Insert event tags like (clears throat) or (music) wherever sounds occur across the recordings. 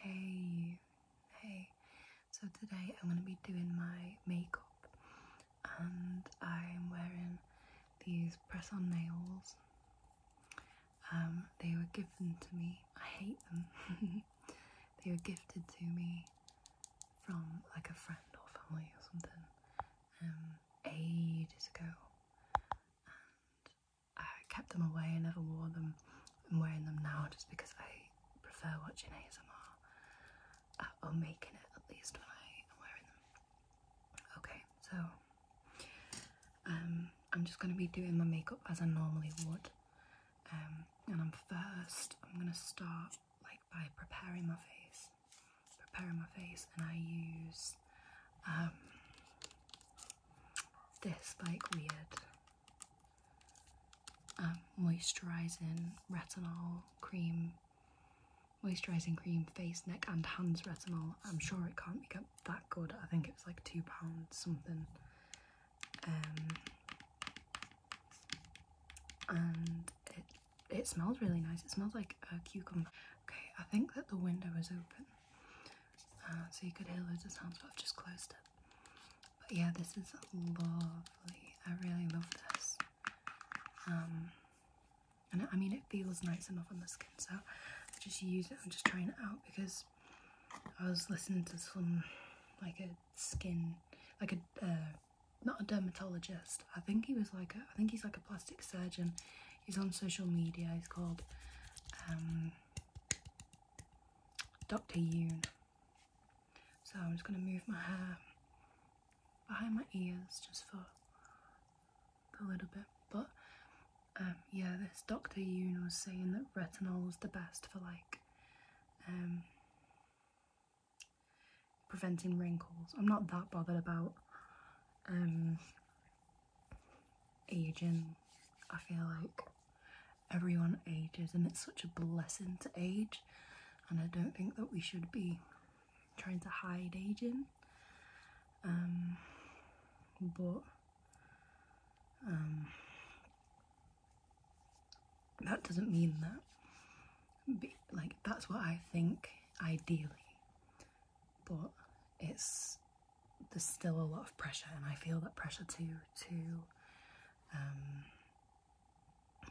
Hey hey. So today I'm going to be doing my makeup and I'm wearing these press on nails. Um, they were given to me. I hate them. (laughs) they were gifted to me from like a friend or family or something um, ages ago. And I kept them away, I never wore them. I'm wearing them now just because I prefer watching ASMR uh, or making it at least when I am wearing them. Okay, so um, I'm just going to be doing my makeup as I normally would. Um, and I'm first, I'm going to start like by preparing my face. Preparing my face, and I use um, this like weird um, moisturizing retinol cream, moisturizing cream, face, neck, and hands retinol. I'm sure it can't be that good. I think it was like two pounds something. Um, and it it smells really nice. It smells like a cucumber. Okay, I think that the window is open. Uh, so you could hear loads of sounds, but I've just closed it. But yeah, this is lovely. I really love this. Um, and I mean, it feels nice enough on the skin, so I just use it. I'm just trying it out because I was listening to some like a skin, like a uh, not a dermatologist. I think he was like a, I think he's like a plastic surgeon. He's on social media. He's called um, Dr. Yoon. So I'm just going to move my hair behind my ears just for a little bit. But um, yeah, this Dr. Yoon was saying that retinol is the best for like um, preventing wrinkles. I'm not that bothered about um, aging. I feel like everyone ages and it's such a blessing to age and I don't think that we should be trying to hide aging. Um, but um, that doesn't mean that like that's what I think ideally but it's there's still a lot of pressure, and I feel that pressure too. to um,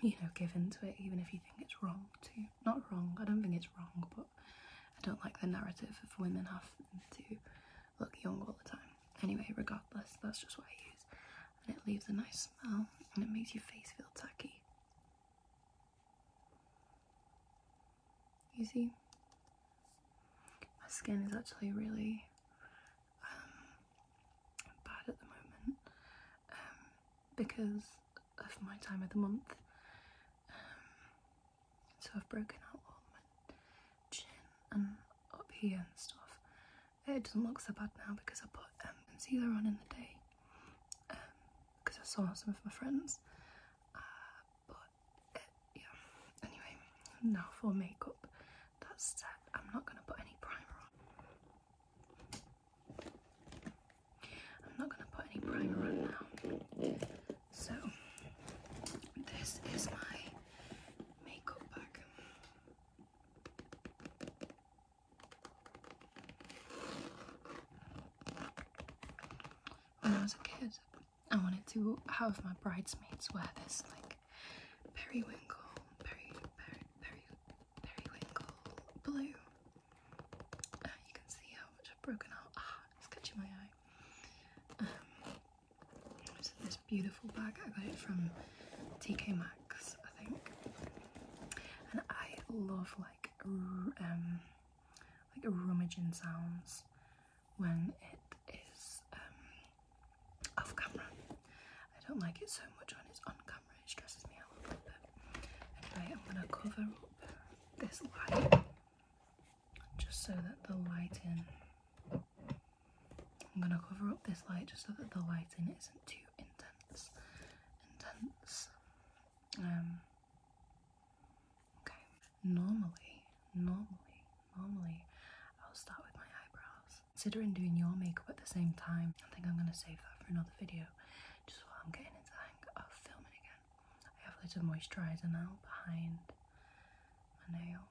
you know give into it, even if you think it's wrong to not wrong. I don't think it's wrong, but I don't like the narrative of women have to look young all the time. Anyway, regardless, that's just what I use, and it leaves a nice smell, and it makes your face feel tacky. You see, my skin is actually really um, bad at the moment um, because of my time of the month. Um, so I've broken out all my chin and up here and stuff. It doesn't look so bad now because I put concealer on in the day because I saw some of my friends. Uh, yeah. Anyway, now for makeup. That's set. I'm not gonna put any primer on. I'm not gonna put any primer on now. So this is my makeup bag. When I was a kid, I wanted to have my bridesmaids wear this like periwinkle, peri, peri, peri, periwinkle blue. Uh, you can see how much I've broken out. Ah, it's catching my eye. Um, this beautiful bag. I got it from TK Maxx, I think. And I love like um like rummaging sounds when it is um, off camera. I don't like it so much when it's on camera, it stresses me out a little bit. Anyway, I'm going to cover up this light just so that the lighting. I'm going to cover up this light just so that the lighting isn't too intense. Intense. Um, okay, Normally, normally, normally, I'll start with my eyebrows. Considering doing your makeup at the same time, I think I'm going to save that for another video. Just while I'm getting into the of filming again. I have a little moisturiser now behind my nail.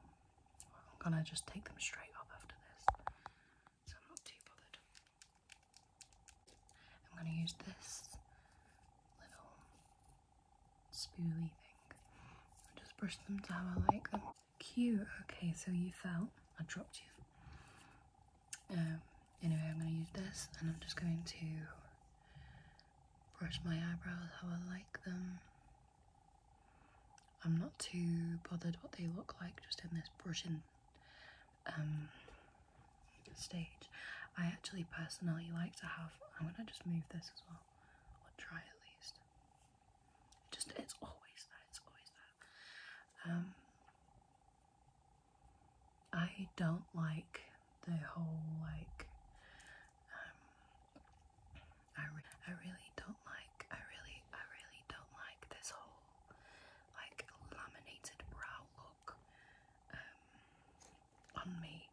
I'm going to just take them straight up after this. So I'm not too bothered. I'm going to use this little Spooly thing. i just brush them to how I like them. Cute. Okay, so you fell. I dropped you. Um, anyway, I'm going to use this and I'm just going to brush my eyebrows how I like them. I'm not too bothered what they look like just in this brushing um, stage. I actually personally like to have, I'm going to just move this as well, or try at least. Just it's always that, it's always that. Um I don't like the whole like um I re I really don't like I really I really don't like this whole like laminated brow look um on me.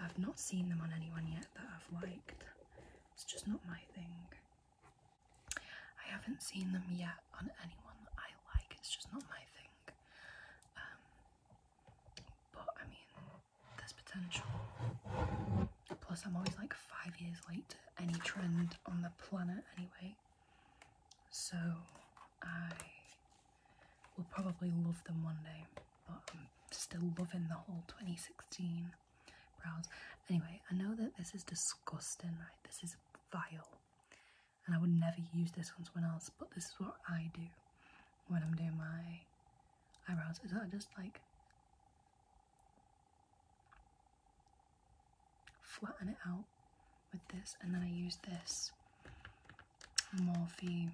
I've not seen them on anyone yet that I've liked. It's just not my thing. I haven't seen them yet on anyone that I like. It's just not my thing. Um, but I mean, there's potential. Plus, I'm always like five years late to any trend on the planet, anyway. So I will probably love them one day but I'm still loving the whole 2016 brows. Anyway, I know that this is disgusting, right? This is vile, and I would never use this on someone else, but this is what I do when I'm doing my eyebrows. Is that just like flatten it out with this, and then I use this Morphe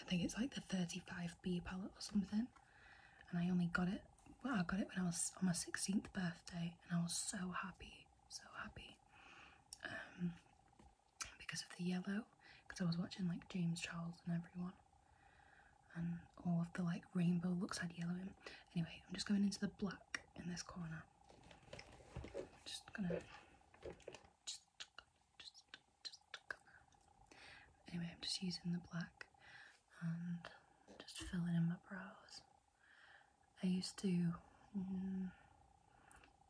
I think it's like the 35B palette or something. And I only got it, well, I got it when I was on my 16th birthday, and I was so happy, so happy. Um, because of the yellow, because I was watching like James Charles and everyone, and all of the like rainbow looks had yellow in. Anyway, I'm just going into the black in this corner. just gonna Anyway, I'm just using the black and just filling in my brows. I used to mm,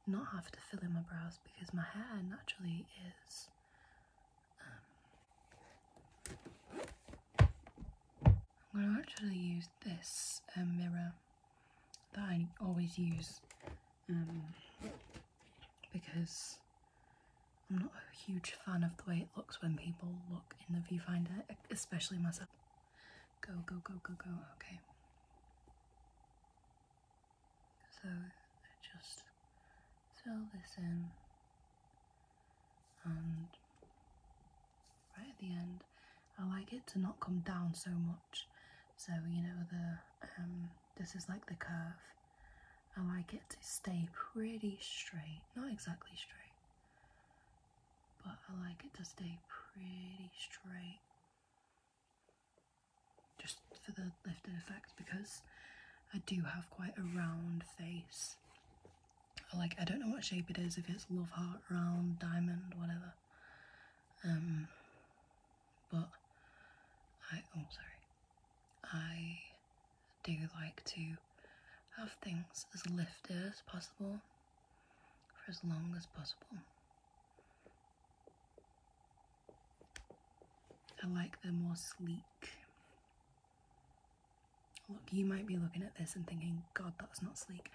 not have to fill in my brows because my hair naturally is um, I'm going to actually use this uh, mirror that I always use um, because I'm not a huge fan of the way it looks when people look in the viewfinder, especially myself. Go, go, go, go, go, okay. So I just fill this in and right at the end I like it to not come down so much so you know the um, this is like the curve. and I like it to stay pretty straight. Not exactly straight, but I like it to stay pretty straight. Just for the lifted effect because I do have quite a round face. like I don't know what shape it is, if it's love heart, round, diamond, whatever. Um but I oh sorry, I do like to have things as lifted as possible for as long as possible. I like them more sleek. Look, you might be looking at this and thinking, God, that's not sleek.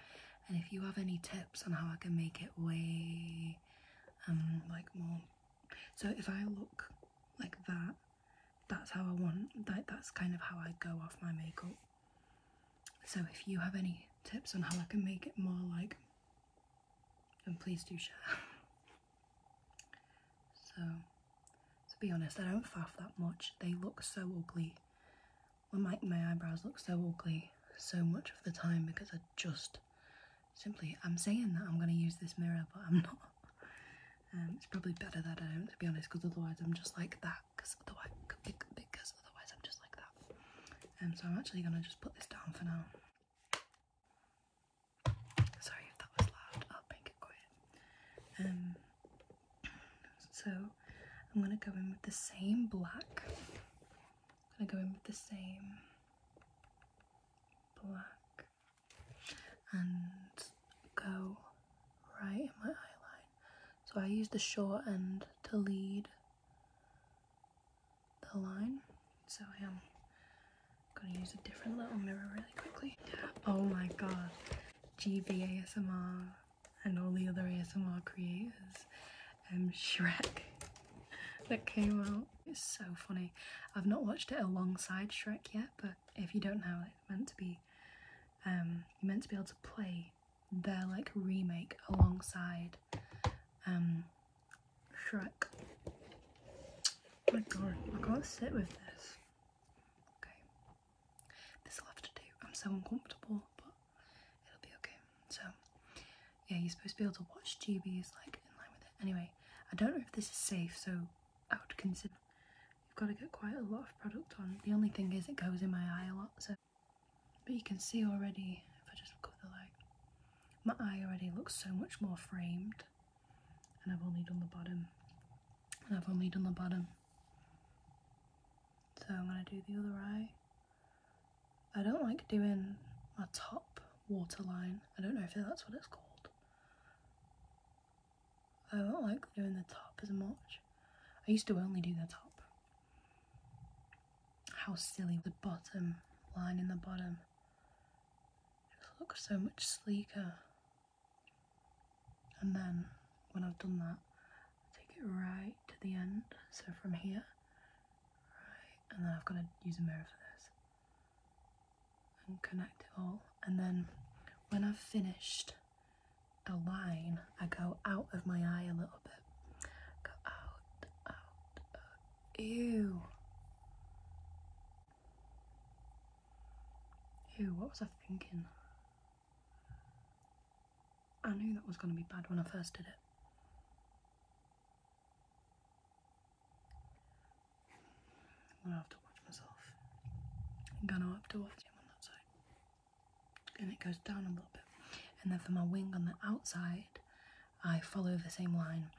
And if you have any tips on how I can make it way um like more so if I look like that that's how I want like that's kind of how I go off my makeup so if you have any tips on how I can make it more like then please do share (laughs) so to be honest I don't faff that much they look so ugly well my, my eyebrows look so ugly so much of the time because I just simply I'm saying that I'm going to use this mirror, but I'm (laughs) not. Um, it's probably better that I don't, to be honest, because otherwise I'm just like that. Because otherwise, because otherwise I'm just like that. And um, so I'm actually going to just put this down for now. Sorry if that was loud. I'll make it quiet. Um, (clears throat) so I'm going to go in with the same black. I'm going to go in with the same black and go right in my eye So I use the short end to lead the line. So I am gonna use a different little mirror really quickly. Oh my god, GV ASMR and all the other ASMR creators um, Shrek (laughs) that came out. It's so funny. I've not watched it alongside Shrek yet, but if you don't know, it meant to be um, you meant to be able to play their like remake alongside um, Shrek. my god, I can't sit with this. Okay, this will have to do. I'm so uncomfortable, but it'll be okay. So yeah, you're supposed to be able to watch GBs like in line with it. Anyway, I don't know if this is safe, so I would consider you've got to get quite a lot of product on. The only thing is it goes in my eye a lot, so but you can see already if I just look at the light, my eye already looks so much more framed, and I've only done the bottom, and I've only done the bottom. So I'm gonna do the other eye. I don't like doing my top waterline. I don't know if that's what it's called. I don't like doing the top as much. I used to only do the top. How silly. The bottom line in the bottom just looks so much sleeker. And then when I've done that, I take it right to the end. So from here, Right, and then I've got to use a mirror for this. And connect it all. And then when I've finished a line, I go out of my eye a little bit. Go out, out, Ew. Ew, what was I thinking? I knew that was going to be bad when I first did it. I'm gonna have to watch myself. I'm gonna have to watch him on that side. And it goes down a little bit. And then for my wing on the outside, I follow the same line.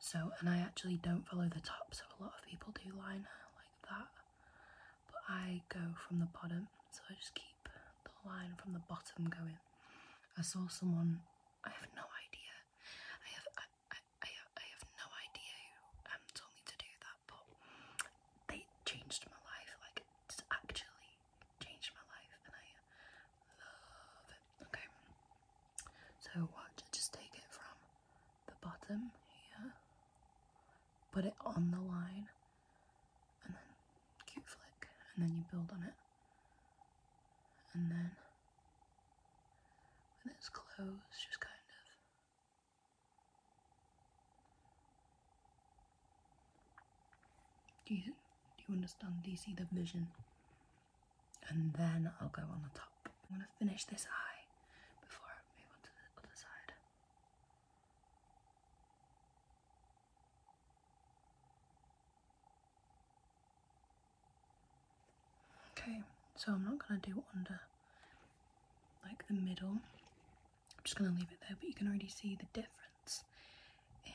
So, and I actually don't follow the top, so a lot of people do line like that. But I go from the bottom, so I just keep the line from the bottom going. I saw someone I have no idea. I have I, I, I, have, I have no idea who um, told me to do that, but they changed my life. Like, it's actually changed my life, and I love it. Okay, so watch. I just take it from the bottom here, put it on the line, and then cute flick and then you build on it and then with its clothes just kind of do you, do you understand do you see the vision and then I'll go on the top I'm gonna finish this eye before I move on to the other side Okay, so I'm not going to do under like the middle. I'm just going to leave it there, but you can already see the difference in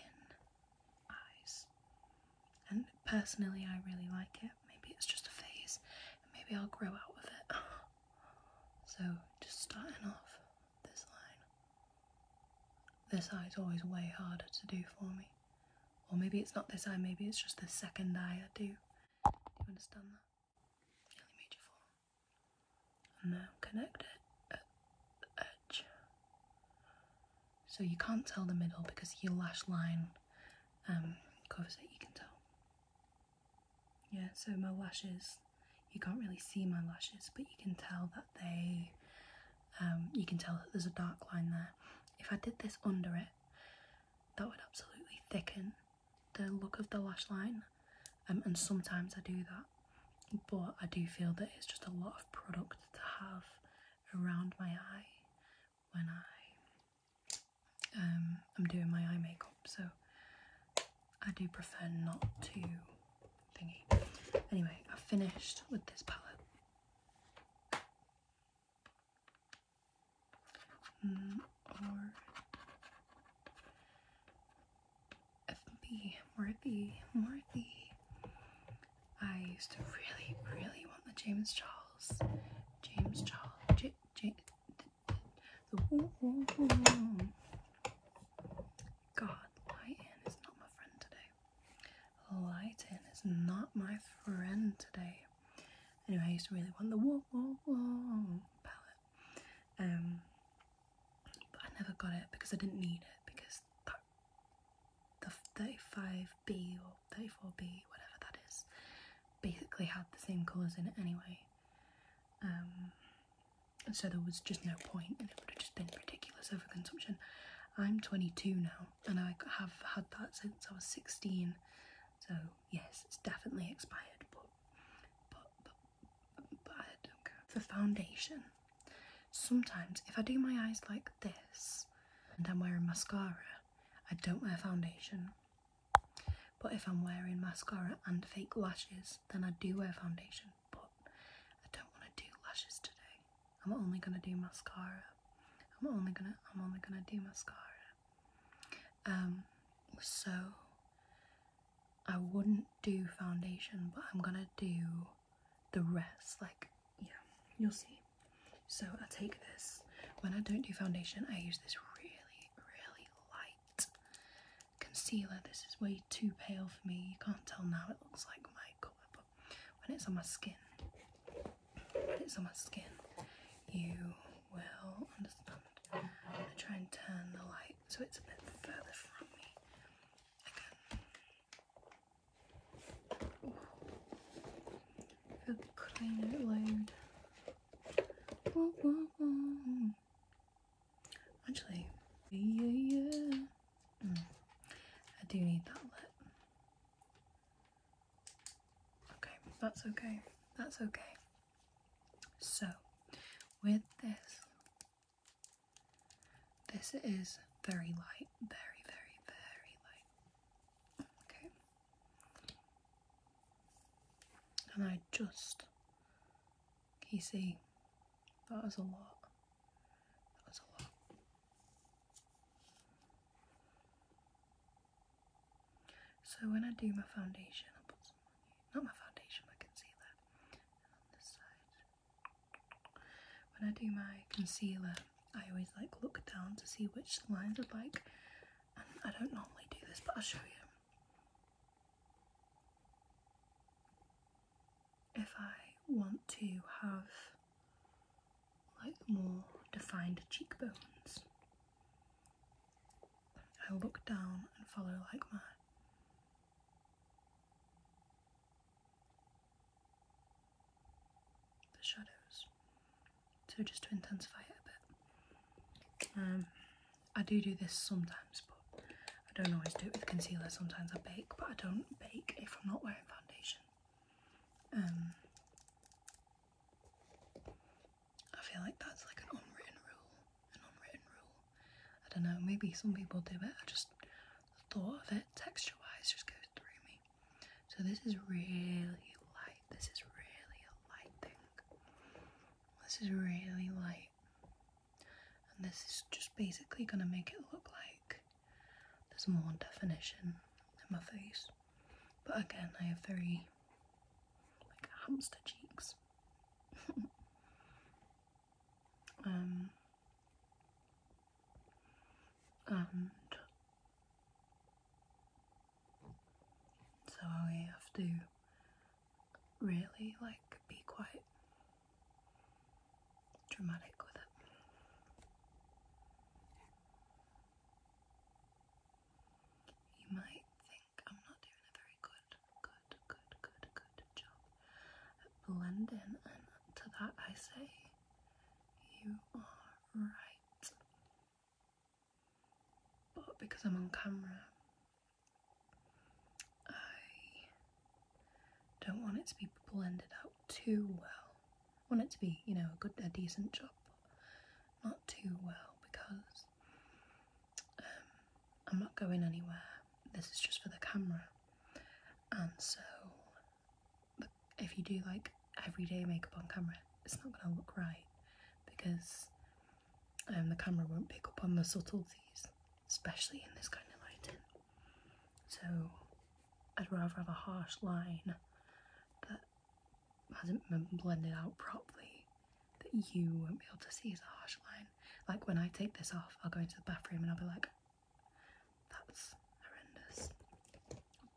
eyes. And personally, I really like it. Maybe it's just a phase, and maybe I'll grow out of it. (sighs) so, just starting off this line. This eye is always way harder to do for me. Or maybe it's not this eye, maybe it's just the second eye I do. Do you understand that? Nearly major form. And now connect it at the edge. So you can't tell the middle because your lash line um, covers it, you can tell. Yeah, so my lashes, you can't really see my lashes, but you can tell that they um, you can tell there's a dark line there. If I did this under it, that would absolutely thicken the look of the lash line, um, and sometimes I do that, but I do feel that it's just a lot of product to have around my eye when I um, am doing my eye makeup, so I do prefer not to Anyway, i finished with this palette. Mm, or Worthy, Worthy. I used to really, really want the James Charles, James Charles, the, God, Lighton is not my friend today. Lighting is not my friend today. Anyway, I used to really want the whoa whoa whoa palette, um, but I never got it because I didn't need it because the 35B or 34B, whatever that is, basically had the same colours in it anyway. Um, so there was just no point, and it would have just been ridiculous overconsumption. I'm 22 now, and I have had that since I was 16. So yes, it's definitely expired, but but For foundation, sometimes if I do my eyes like this and I'm wearing mascara, I don't wear foundation. But if I'm wearing mascara and fake lashes, then I do wear foundation. But I don't want to do lashes today. I'm only gonna do mascara. I'm only gonna I'm only gonna do mascara. Um so I wouldn't do foundation, but I'm gonna do the rest. Like, yeah, you'll see. So I take this. When I don't do foundation, I use this really, really light concealer. This is way too pale for me. You can't tell now. It looks like makeup, but when it's on my skin, when it's on my skin, you will understand. I'm going to try and turn the light so it's a bit further from me. Again. For the crying out loud. Whoa, whoa, whoa. Actually, yeah, yeah, yeah. Mm. I do need that lit. Okay, that's okay. That's okay. So, with this, this is very light, very, very, very light. Okay. And I just, you see, was a lot. So when I do my foundation, i put some Not my foundation, my concealer. When I do my concealer, I always like look down to see which lines are like. And I don't normally do this, but I'll show you if I want to have like more defined cheekbones, I'll look down and follow like my the shadows. So just to intensify it a bit. Um, I do do this sometimes, but I don't always do it with concealer, sometimes I bake, but I don't bake if I'm not wearing foundation. Um, I feel like that's like an unwritten rule, an unwritten rule. I don't know, maybe some people do it, I just the thought of it texture wise just goes through me. So this is really light, this is really a light thing. This is really light. And this is just basically going to make it look like there's more definition in my face. But again, I have very like hamster cheeks. (laughs) um, and so I have to really like be quite dramatic with it. You might think I'm not doing a very good, good, good, good, good job at blending, and that I say, you are right. But because I'm on camera, I don't want it to be blended out too well. Want it to be, you know, a good, a decent job, but not too well because um, I'm not going anywhere. This is just for the camera, and so if you do like everyday makeup on camera, it's not going to look right because um, the camera won't pick up on the subtleties, especially in this kind of lighting. So I'd rather have a harsh line that hasn't been blended out properly that you won't be able to see as a harsh line. Like when I take this off, I'll go into the bathroom and I'll be like, that's horrendous.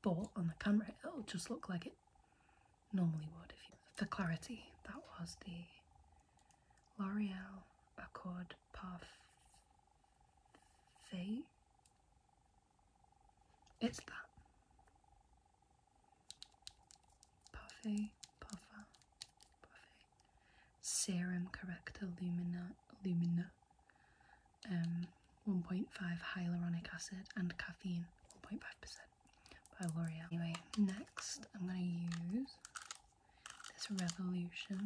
But on the camera, it'll just look like it normally would. If for clarity, that was the L'Oreal Accord Puff. See? It's that. Puffy, puffer, puffy. Serum Corrector Lumina, Lumina. Um, 1.5 hyaluronic acid and caffeine, 1.5% by L'Oreal. Anyway, next I'm going to use this revolution,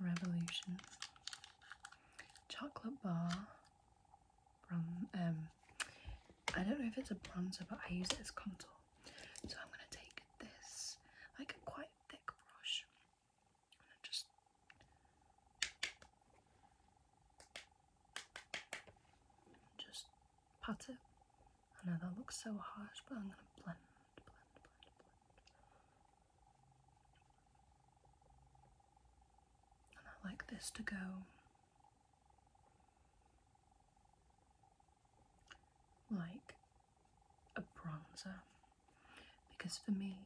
revolution chocolate bar from um I don't know if it's a bronzer, but I use it as contour. So I'm gonna take this like a quite thick brush and just just pattern. I know that looks so harsh, but I'm going to blend, blend, blend, blend. And I like this to go like a bronzer because for me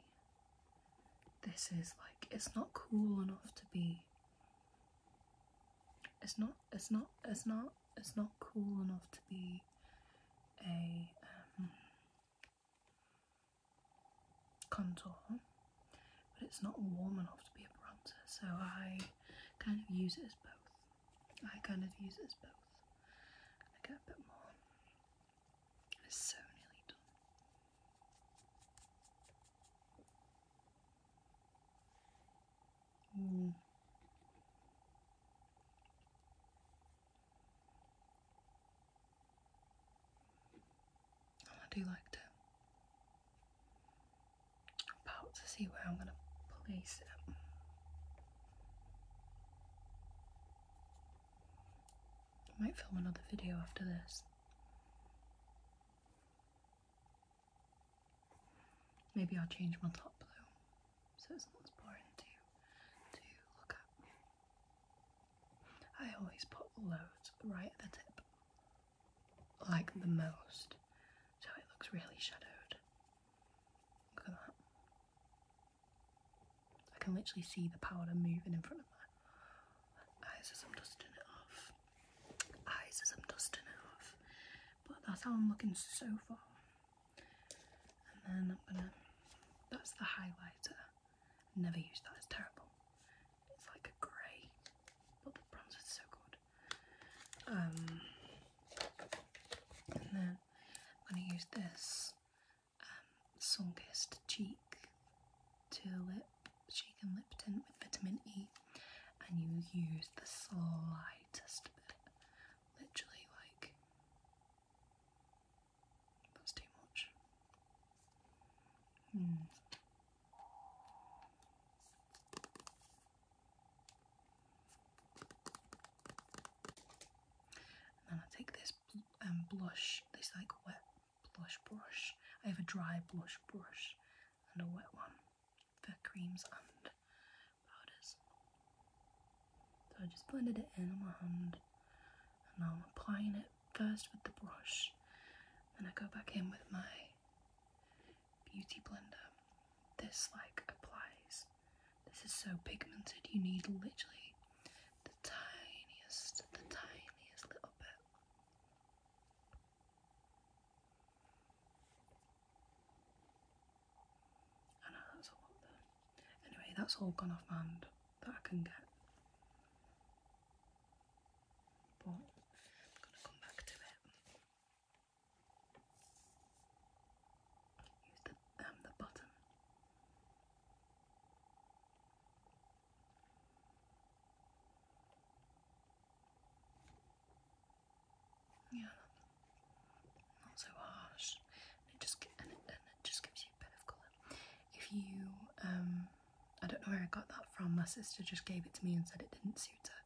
this is like it's not cool enough to be it's not it's not it's not it's not cool enough to be a um, contour but it's not warm enough to be a bronzer so I kind of use it as both I kind of use it as both I get a bit more it's so nearly done Hmm. I do like to. about to see where I'm going to place it. I might film another video after this. Maybe I'll change my top blue so it's not as boring to, to look at. I always put loads right at the tip, like the most, so it looks really shadowed. Look at that. I can literally see the powder moving in front of my eyes as I'm dusting it off. Eyes as I'm dusting it off. But that's how I'm looking so far. And then I'm gonna, that's the highlighter. Never use that, it's terrible. It's like a grey, but the bronzer is so good. Um, and then I'm gonna use this um, Sunkissed Cheek to Lip, Cheek and Lip Tint with vitamin E. And you use the slightest bit literally like that's too much. then hmm. I take this um, blush, this like wet blush brush. I have a dry blush brush and a wet one. The creams and powders. So I just blended it in on my hand and now I'm applying it first with the brush then I go back in with my beauty blender. This like applies. This is so pigmented you need literally the tiniest, the tiniest little bit. Anyway, that's all gone off hand that I can get. But I'm gonna come back to it. Use the um the button yeah, not so harsh. it just and it, just gives you a bit of colour. If you, um, I don't know where I got that from. My sister just gave it to me and said it didn't suit her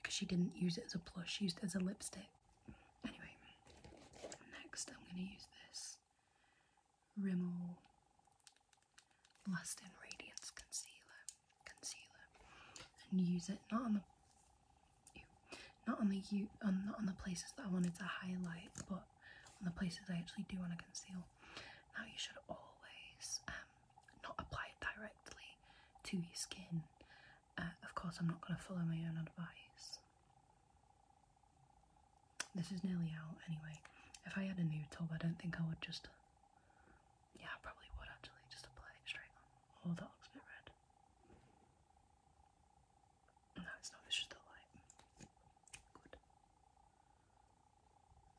because she didn't use it as a blush. She used it as a lipstick. Anyway, next I'm going to use this Rimmel Lasting Radiance Concealer concealer and use it not on the not on the you not on the places that I wanted to highlight, but on the places I actually do want to conceal. Now you should always um, not apply it directly to your skin. Uh, of course, I'm not going to follow my own advice. This is nearly out anyway. If I had a new tub, I don't think I would just yeah, probably would actually just apply straight on. Oh, that looks a bit red. No, it's not, it's just the light. Good.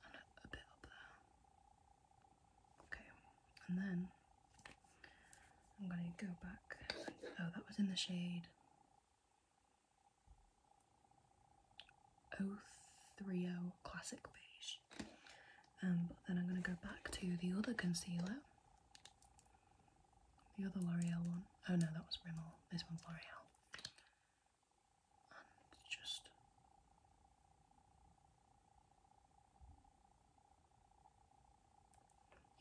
And a, bit up there. Okay, and then I'm gonna go back. Oh, that was in the shade 030 Classic Beige. And um, then I'm gonna go back to the other concealer the other L'Oreal one. Oh no, that was Rimmel. This one's L'Oreal. just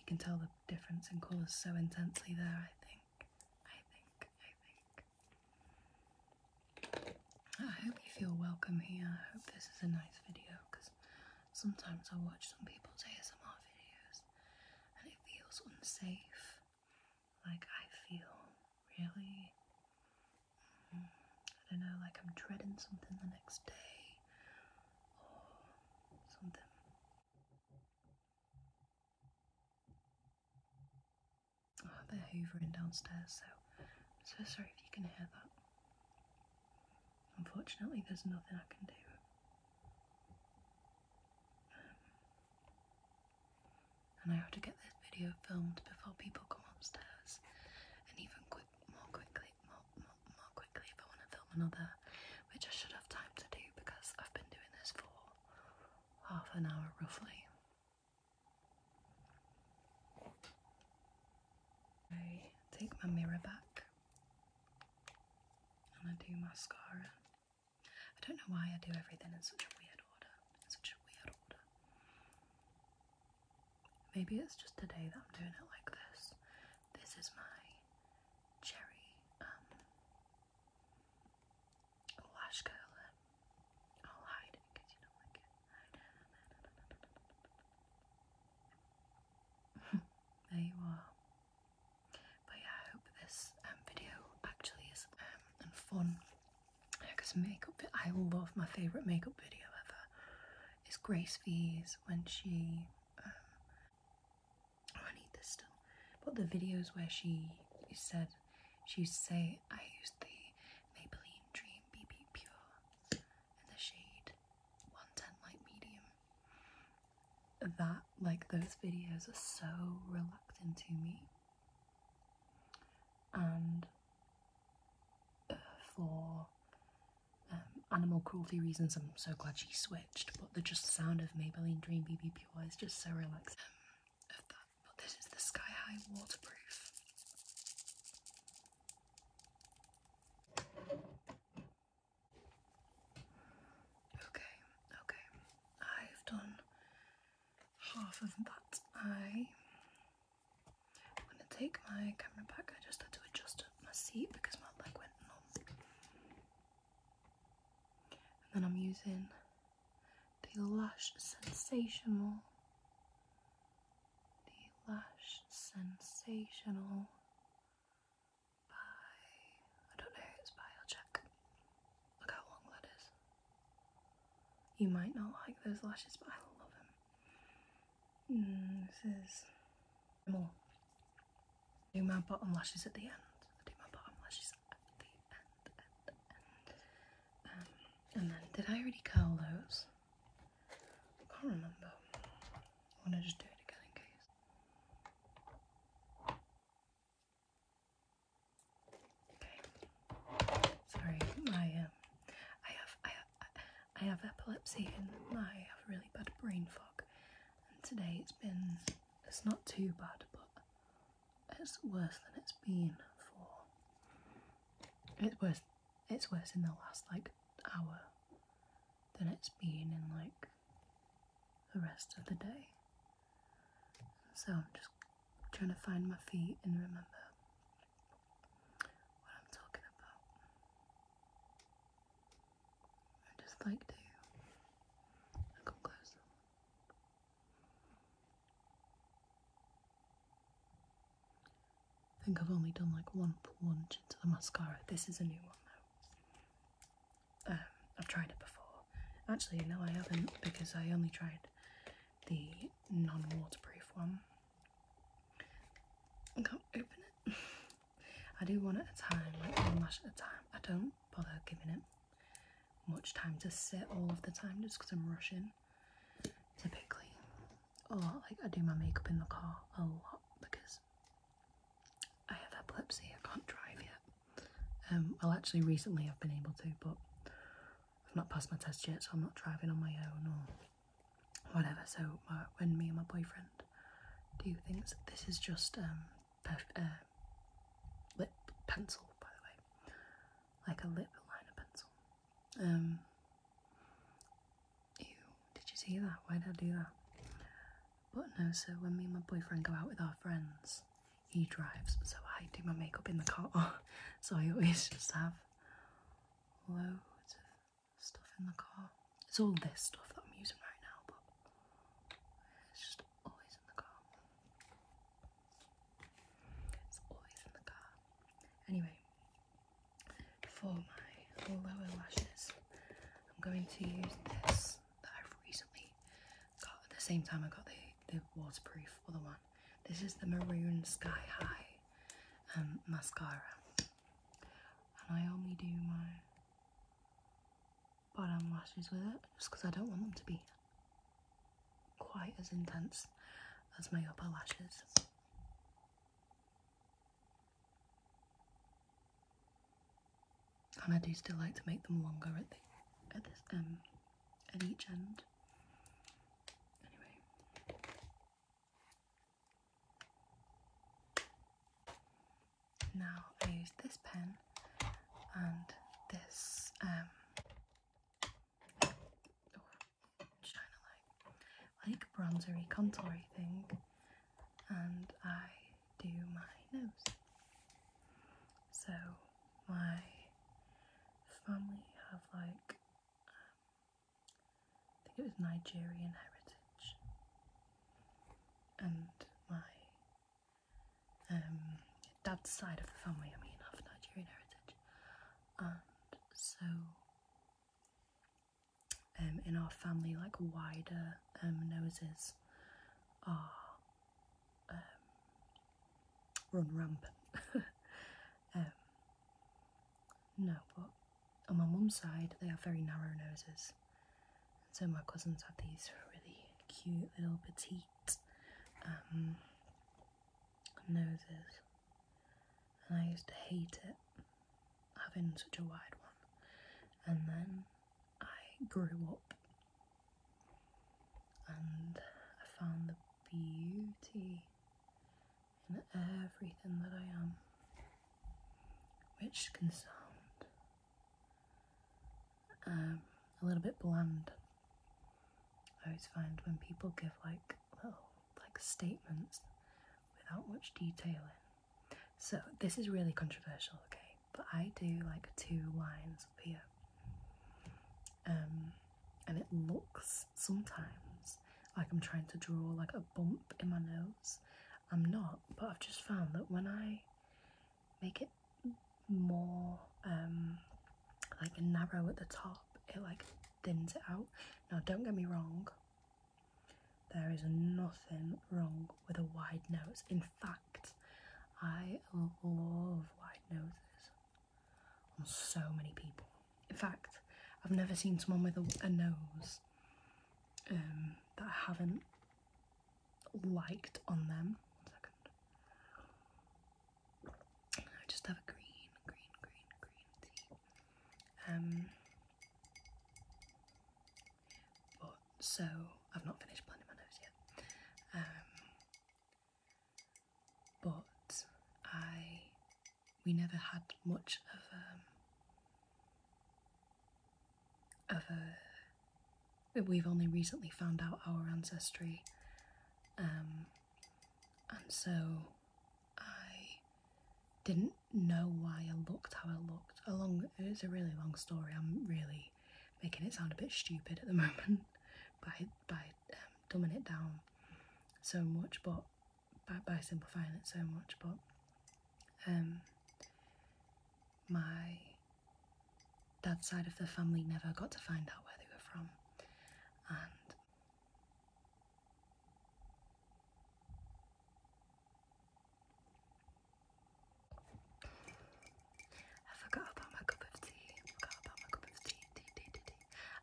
you can tell the difference in colours so intensely there, I think. I think, I think. I hope you feel welcome here. I hope this is a nice video because sometimes I watch some people's ASMR videos and it feels unsafe. Like I feel really, mm, I don't know, like I'm dreading something the next day or something. Oh, they're hoovering downstairs, so I'm so sorry if you can hear that. Unfortunately, there's nothing I can do. and I have to get this video filmed before people come upstairs, and even quick, more quickly, more, more quickly if I want to film another, which I should have time to do because I've been doing this for half an hour roughly. I take my mirror back and I do mascara. I don't know why I do everything in such a weird order. such a weird order. Maybe it's just today that I'm doing it like this. This is my cherry um, lash curler. I'll hide it because you don't like it. (laughs) there you are. But yeah, I hope this um, video actually is um, fun. Because makeup, I love my favourite makeup video ever. Is Grace V's when she. Um, oh, I need this still. But the videos where she said she say I used the Maybelline Dream BB Pure in the shade 110 light medium. That, like, those videos are so reluctant to me. And uh, for um, animal cruelty reasons, I'm so glad she switched, but the just sound of Maybelline Dream BB Pure is just so relaxing. Um, but this is the Sky High Waterproof. Okay, okay. I've done half of that. I I'm gonna take my camera back. I just had to adjust my seat because my leg went numb. And then I'm using the Lush Sensational the lash sensational by I don't know it's by, I'll check. Look how long that is. You might not like those lashes, but I love them. Hmm, this is more. do my bottom lashes at the end. do my bottom lashes at the end, um, and then, did I already curl those? I can't remember. I want to just do it again in case. Okay. Sorry, my um, I have I have I have epilepsy and I have really bad brain fog. And today it's been it's not too bad, but it's worse than it's been for. It's worse it's worse in the last like hour than it's been in like the rest of the day. So I'm just trying to find my feet and remember what I'm talking about. I just like to come closer. I think I've only done like one plunge into the mascara. This is a new one though. Um, I've tried it before. Actually, no, I haven't because I only tried the non-waterproof one. I can't open it. (laughs) I do one at a time, like one lash at a time. I don't bother giving it much time to sit all of the time just because I'm rushing typically. Or like I do my makeup in the car a lot because I have epilepsy, I can't drive yet. Um, I'll actually recently I've been able to but I've not passed my test yet so I'm not driving on my own or whatever so when me and my boyfriend do things, this is just um, uh, lip pencil by the way, like a lip liner pencil um, ew, did you see that? Why did I do that? But no, so when me and my boyfriend go out with our friends, he drives, so I do my makeup in the car. (laughs) so I always just have loads stuff in the car. It's all this stuff that I'm using right now, but it's just always in the car. It's always in the car. Anyway, for my lower lashes, I'm going to use this that I've recently got at the same time I got the, the waterproof other one. This is the Maroon Sky High um, mascara, and I only do my bottom lashes with it just because I don't want them to be quite as intense as my upper lashes. And I do still like to make them longer at the at this um at each end. Anyway. Now I use this pen and this um oh, shine a light, like bronzery contoury thing, and I do my nose. So my family have like um, I think it was Nigerian heritage, and my um, dad's side of the family I mean have Nigerian heritage, and so um, in our family, like wider um, noses, are um, run rampant. (laughs) Um, no, but on my mum's side, they have very narrow noses. so my cousins have these really cute little petite noses and I used to hate it having such a wide one and then I grew up and I found the beauty in everything that I am which can sound um, a little bit bland I always find when people give like little like statements without much detail in. So this is really controversial, okay? But I do like two lines here. Um, and it looks sometimes like I'm trying to draw like a bump in my nose. I'm not, but I've just found that when I make it more um, like narrow at the top, it like thins it out. Now, don't get me wrong, there is nothing wrong with a wide nose. In fact, I love wide noses on so many people. In fact, I've never seen someone with a, a nose um, that I haven't liked on them. I just have a green, green, green, green tea. Um, but so I've not finished blending my nose yet. Um, but I, we never had much um, of a, We've only recently found out our ancestry and so I didn't know why I looked how I looked. A long, it's a really long story. I'm really making it sound a bit stupid at the (laughs) moment by by um, dumbing it down so much, but by, by simplifying it so much. But um, my dad's side of the family never got to find out where they were from, and I forgot about my cup of tea. forgot about my cup of tea. Tea,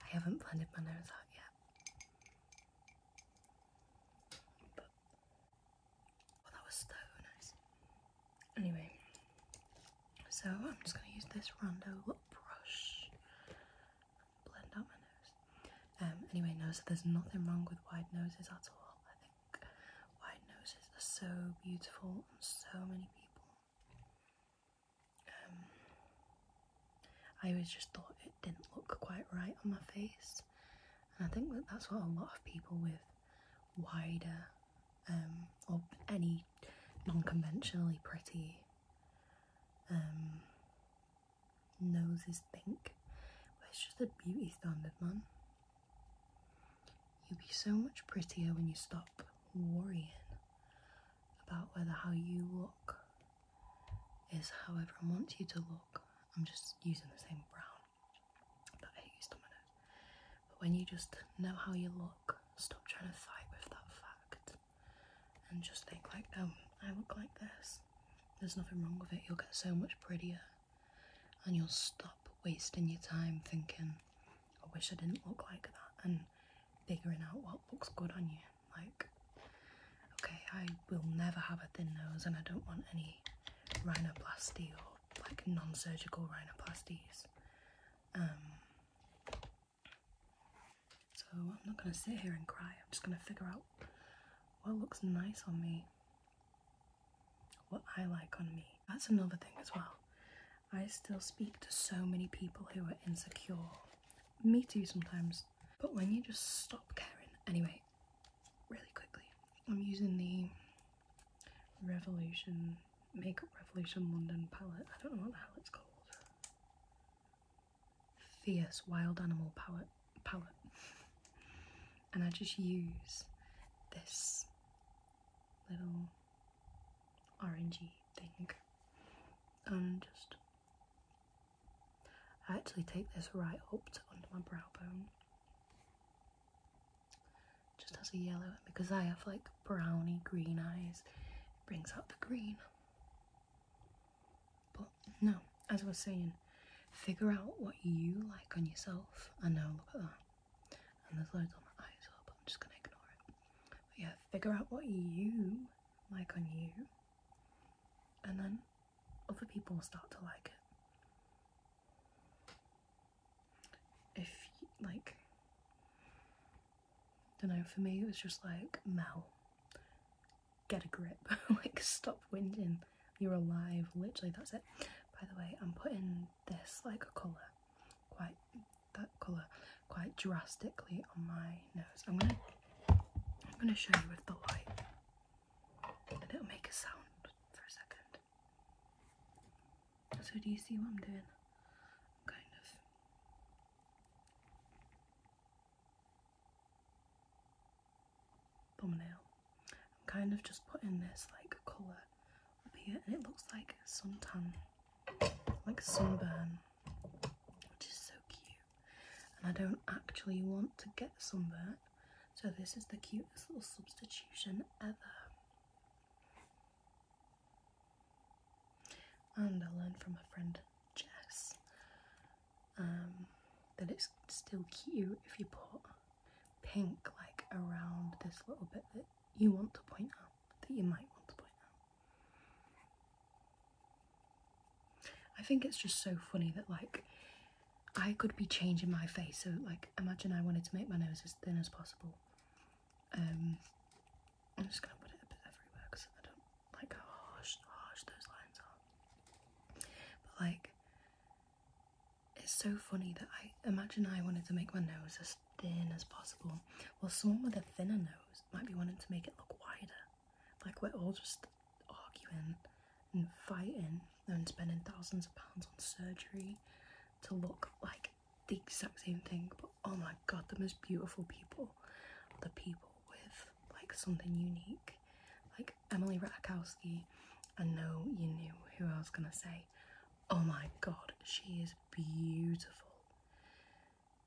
haven't blended my nose out yet. But, well, oh, that was so nice. Anyway, so I'm just going to use this Rondo brush blend out my nose. Um, anyway, nose. so there's nothing wrong with wide noses at all. I think wide noses are so beautiful on so many people. Um, I always just thought it didn't look quite right on my face, and I think that that's what a lot of people with wider um, or any non-conventionally pretty nose is pink, Where's just a beauty standard, man. You'll be so much prettier when you stop worrying about whether how you look is how everyone wants you to look. I'm just using the same brown that I used on my nose. But when you just know how you look, stop trying to fight with that fact and just think like oh I look like this there's nothing wrong with it you'll get so much prettier and you'll stop wasting your time thinking I wish I didn't look like that and figuring out what looks good on you like okay I will never have a thin nose and I don't want any rhinoplasty or like non-surgical rhinoplasties um, so I'm not going to sit here and cry, I'm just going to figure out what looks nice on me, what I like on me. That's another thing as well. I still speak to so many people who are insecure. Me too sometimes. But when you just stop caring, anyway, really quickly, I'm using the Revolution Makeup Revolution London palette. I don't know what the hell it's called fierce wild animal palette, palette. and I just use this little orangey thing and just I actually take this right up to under my brow bone just as a yellow because I have like browny green eyes brings out the green but no, as we're saying, figure out what you like on yourself. I know, look at that. And there's loads on my eyes, but I'm just gonna ignore it. But yeah, figure out what you like on you, and then other people will start to like it. If you, like don't know, for me it was just like, Mel, get a grip, (laughs) like stop whining. you're alive, literally, that's it. By the way, I'm putting this like a colour, quite, that colour, quite drastically on my nose. I'm gonna, I'm gonna show you with the light, and it'll make a sound for a second. So do you see what I'm doing? kind of thumbnail. I'm kind of just putting this like colour up here and it looks like suntan, like sunburn, which is so cute. And I don't actually want to get sunburn, so this is the cutest little substitution ever. And I learned from my friend Jess um, that it's still cute if you put pink like around this little bit that you want to point out, that you might want to point out. I think it's just so funny that like I could be changing my face. So like imagine I wanted to make my nose as thin as possible. Um, I'm just gonna put it everywhere because I don't like how harsh, harsh those lines are. But like, it's so funny that I imagine I wanted to make my nose as thin as possible. while someone with a thinner nose might be wanting to make it look wider. Like we're all just arguing and fighting and spending thousands of pounds on surgery to look like the exact same thing oh my god, the most beautiful people the people with like something unique. Like Emily Ratajkowski, I know you knew who I was gonna say. Oh my god, she is beautiful.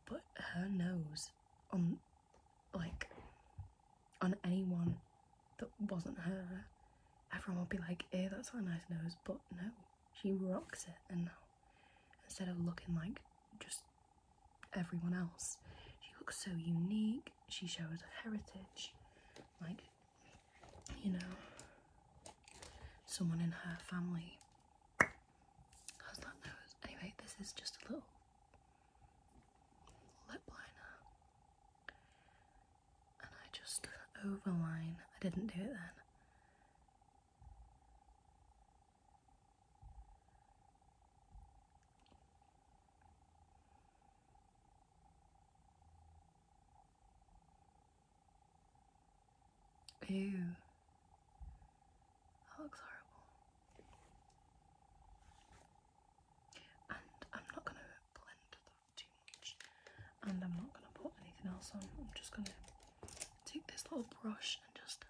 But her nose on like on anyone that wasn't her, everyone would be like, eh, that's not a nice nose, but no, she rocks it and now instead of looking like just everyone else. She looks so unique, she shows her heritage, like, you know, someone in her family has that nose. Anyway, this is just a little lip liner, and I just overline. I didn't do it then. Ew. That looks horrible. And I'm not going to blend that too much. And I'm not going to put anything else on. I'm just going to take this little brush and just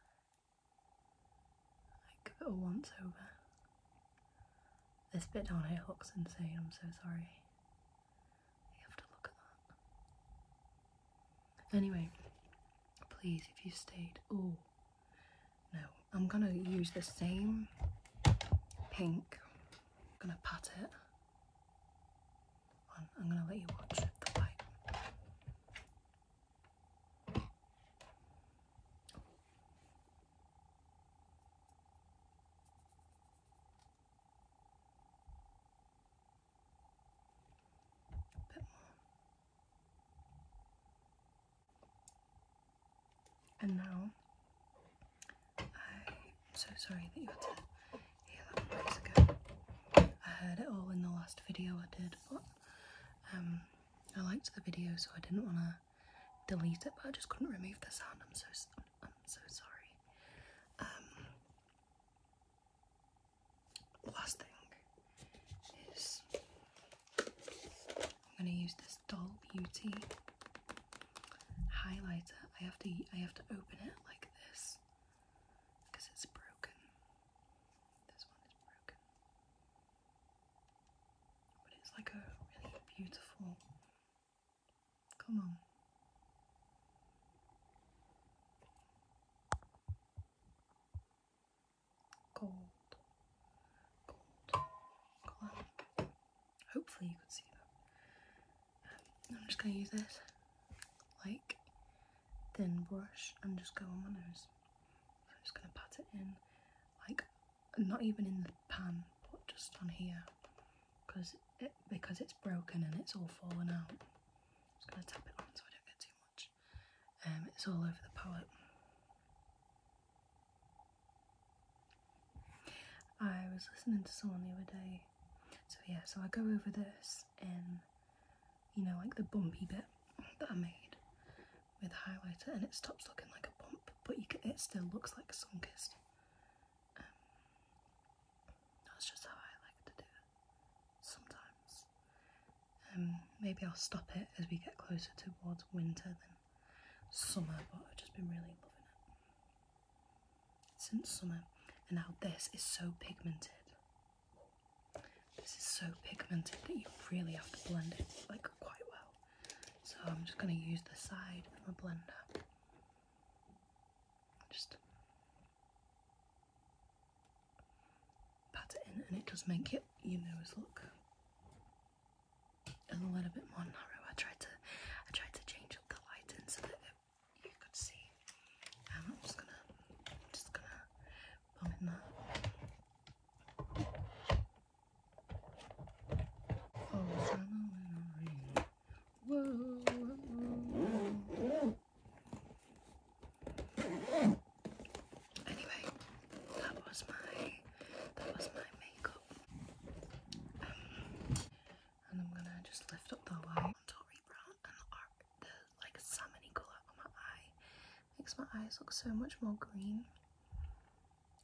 like, give it once over. This bit down here looks insane, I'm so sorry. You have to look at that. Anyway, please, if you stayed. Oh, no. I'm gonna use the same pink. I'm gonna pat it. I'm gonna let you watch the light. And now, I'm so sorry that you had to hear that I heard it all in the last video I did, um, I liked the video, so I didn't want to delete it, but I just couldn't remove the sound. I'm so I'm so sorry. Um, last thing is I'm gonna use this Doll Beauty highlighter. I have to I have to open it like this because it's broken. This one is broken. But it's like a really beautiful. Come on. Gold. Gold. Gold. Hopefully you could see that. Um, I'm just going to use this like thin brush and just go on my nose. I'm just going to pat it in, like not even in the pan, but just on here, because it because it's broken and it's all fallen out. just going to tap it on so I don't get too much. Um, it's all over the palette. I was listening to someone the other day. So yeah, so I go over this and you know, like the bumpy bit that I made with highlighter, and it stops looking like a bump, but it still looks like sun kissed. Um, that's just how I like to do it sometimes. Um, maybe I'll stop it as we get closer towards winter than summer, but I've just been really loving it since summer, and now this is so pigmented. This is so pigmented that you really have to blend it like quite well. So I'm just going to use the side of my blender. Just pat it in and it does make it your nose look a little bit more narrow. I tried to I tried to change up the lighting so that you could see and I'm just gonna, I'm just gonna pump in that. Oh, summer when I read. Whoa, whoa, whoa. Anyway, that was my that was my makeup. Um, and I'm gonna just lift up the white on top, brown and the salmony colour on my eye makes my eyes look so much more green.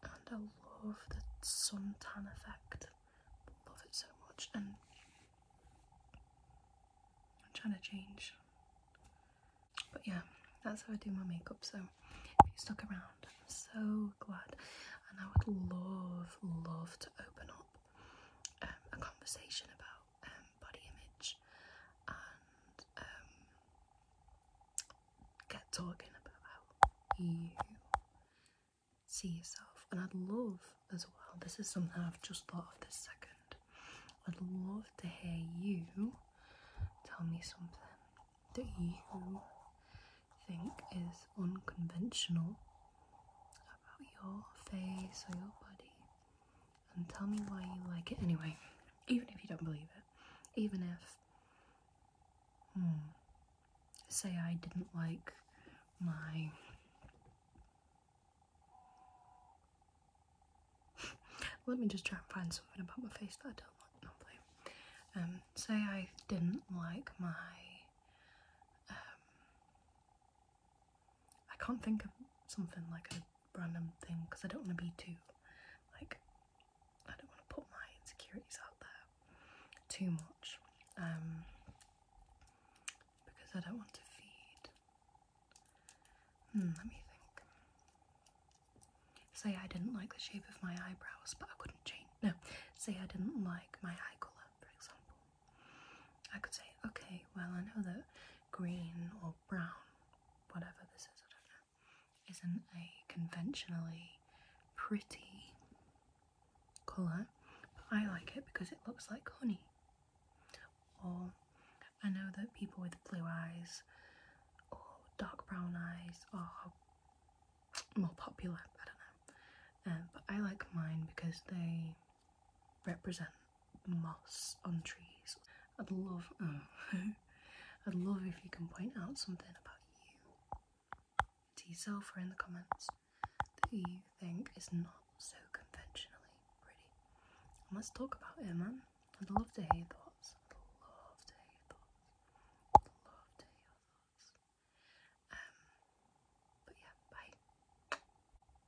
And I love the sun tan effect. Love it so much. And I'm trying to change. But yeah, that's how I do my makeup. So stuck around, I'm so glad. And I would love, love to open up um, a conversation about um, body image and um, get talking about how you see yourself. And I'd love as well, this is something I've just thought of this second. I'd love to hear you tell me something that you think is unconventional about your face or your body and tell me why you like it anyway, even if you don't believe it. Even if, hmm, say I didn't like my. (laughs) Let me just try and find something about my face that I don't like. Not Um, say I didn't like my um, I can't think of something like a random thing because I don't want to be too like I don't want to put my insecurities out there too much um, because I don't want to feed. Hmm, let me think. Say I didn't like the shape of my eyebrows, but I couldn't change. No, say I didn't like my eye colour, for example. I could say, okay, well, I know that green or brown, whatever this is, I don't know, isn't a conventionally pretty colour, but I like it because it looks like honey. Or I know that people with blue eyes or dark brown eyes are more popular, I don't know. Um, but I like mine because they represent moss on trees. I'd love, (laughs) I'd love if you can point out something about you to yourself or in the comments that you think is not so conventionally pretty. And let's talk about Emma. I'd love to hear your thoughts. I'd love to hear thoughts. Um, but yeah, bye.